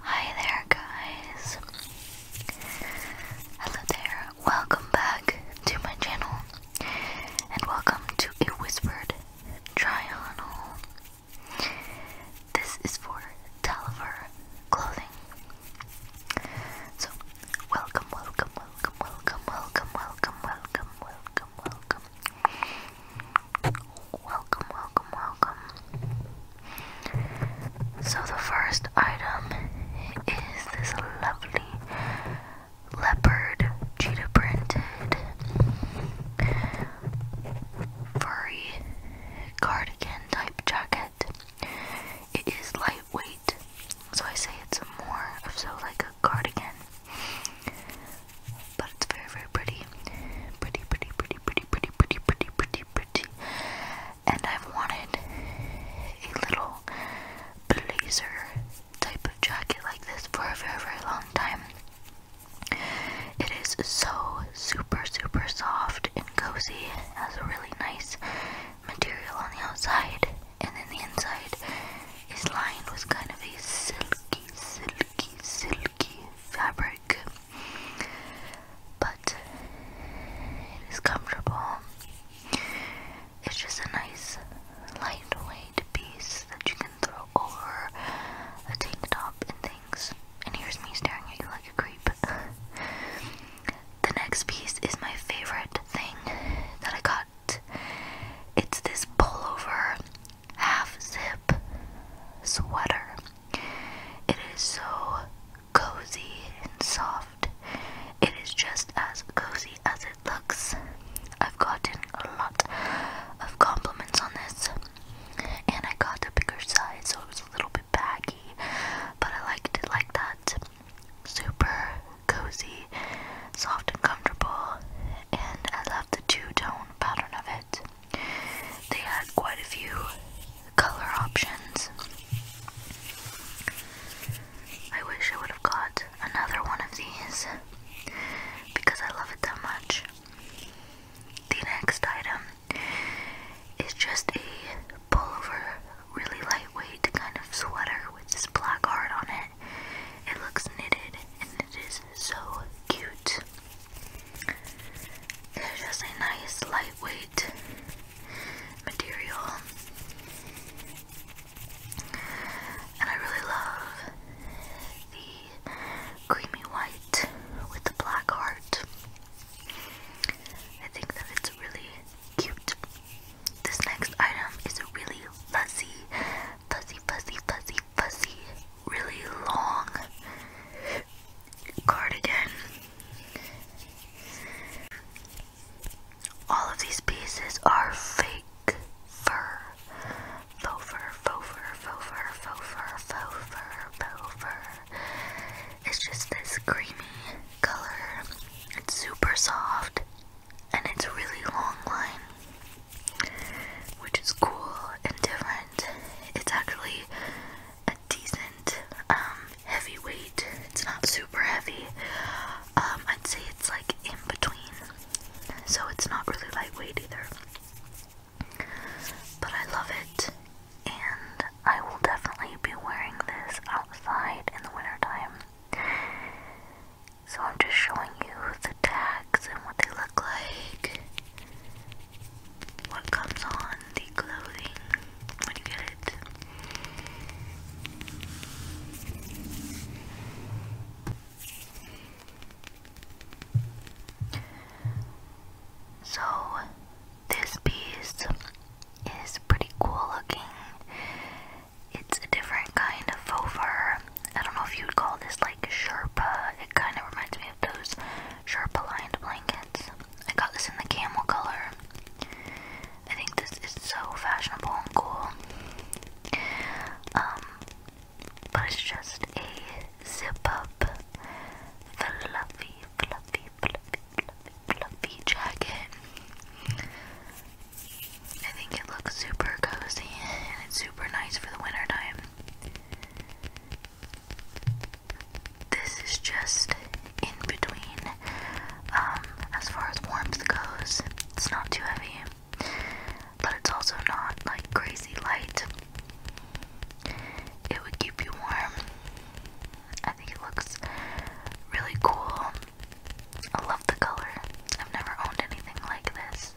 Hi there, guys. Hello there. Welcome back to my channel, and welcome to a whispered triangle. This is for Taliver clothing. So, welcome, welcome, welcome, welcome, welcome, welcome, welcome, welcome, welcome, Welcome, welcome, welcome. So, the first item is this lovely leopard cheetah printed furry cardigan type jacket. It is lightweight, so I say it's more of so like a cardigan but it's very, very pretty. Pretty, pretty, pretty, pretty, pretty, pretty, pretty, pretty, pretty. And I've wanted a little blazer type of jacket like this for a very, very long time. It is so super, super soft and cozy. It has a really nice material on the outside, and then the inside is lined with kind of a silky, silky, silky fabric, but it is comfortable. It's just a nice, lightweight piece that you can throw over a tank top and things. And here's me staring at you like a creep. the next piece is my favorite thing that I got. It's this pullover half zip sweater. It is so cozy and soft. It is just as cozy as it looks. I've gotten a lot of compliments on this, and I got a bigger size, so it was a little bit baggy, but I liked it like that. Super cozy, soft, and comfortable, and I love the two tone pattern of it. They had quite a few color options. I wish I would have got another one of these because I love it that much. The next item is just a pullover, really lightweight kind of sweater with this black heart on it. It looks knitted and it is so cute. It's just a nice lightweight material. And I really love the creamy white with the black heart. I think that it's really cute. This next item is a really fuzzy, fuzzy, fuzzy, fuzzy, fuzzy, really long cardigan. All of these pieces are fake fur. Faux fur, faux fur, faux fur, faux fur, faux fur, faux fur. It's just this creamy color. It's super soft and it's really long line which is cool and different. It's actually a decent um, heavyweight. It's not super heavy. Um, I'd say it's like in between, so it's not really lightweight either. But I love it, and I will definitely be wearing this outside in the wintertime. So I'm just showing you the tags and what they look like what comes on the clothing when you get it. So, this piece is pretty cool looking. It's a different kind of faux fur. I don't know if you would call this like like Sherpa. It kind of reminds me of those Sherpa lined blankets. I got this in the camel color. I think this is so fashionable and cool. Um, but it's just a zip up, fluffy, fluffy, fluffy, fluffy, fluffy jacket. I think it looks super cozy and it's super nice for the winter time. This is just in between. Um, as far as warmth goes, it's not too heavy, but it's also not like crazy light. It would keep you warm. I think it looks really cool. I love the color. I've never owned anything like this.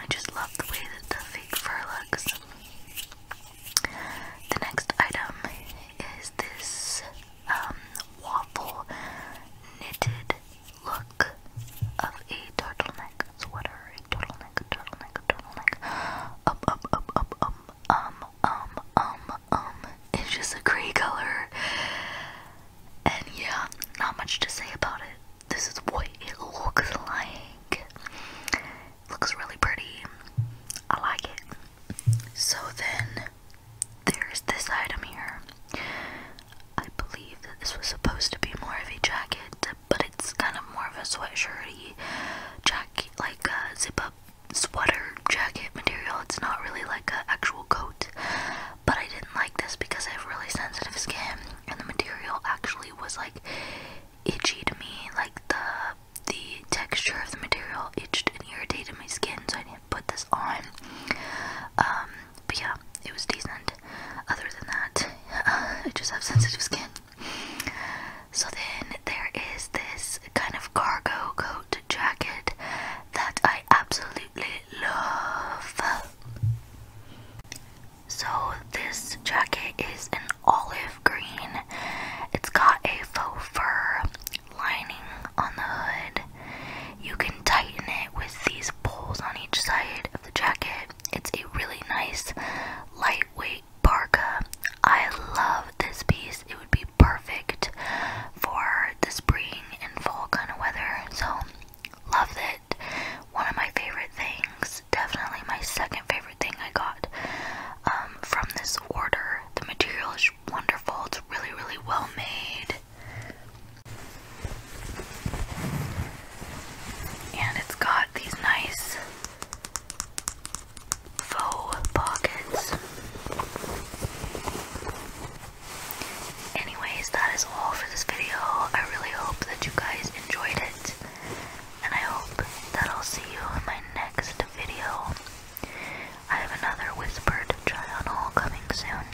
I just love the way that the fake fur looks. The next item is this um, waffle knitted look of a turtleneck sweater, a turtleneck, a turtleneck, a turtleneck. Up, um, up, um, up, um, up, up, um, um, um, um. It's just a gray color. And yeah, not much to say about it. This is what it looks like. looks really pretty. I like it. So then there's this item here. I believe that this was supposed to be more of a jacket, but it's kind of more of a sweatshirty jacket, like a zip up sweater jacket material. It's not really like an actual coat, but I didn't like this because I have really sensitive skin, and the material actually was like itchy to me, like the the texture of the material itched and irritated my skin, so I didn't put this on. Um, but yeah, it was decent. Other than that, I just have sensitive skin. So then there is this kind of cargo coat jacket that I absolutely love. So this jacket is an olive green. It's got a faux fur lining on the hood. You can tighten it with these poles on each side of the jacket. It's a really nice lightweight parka. I love this piece. It would be perfect for the spring and fall kind of weather. So Love it. One of my favorite things, definitely my second favorite thing I got um, from this order. The material is wonderful, it's really, really well made. And it's got these nice faux pockets. Anyways, that is all for this video. I really hope that you guys enjoyed it and I hope that I'll see you in my next video. I have another whispered try coming soon.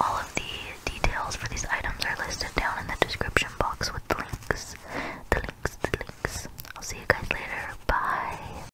All of the details for these items are listed down in the description box with links. links, links. I'll see you guys later. Bye.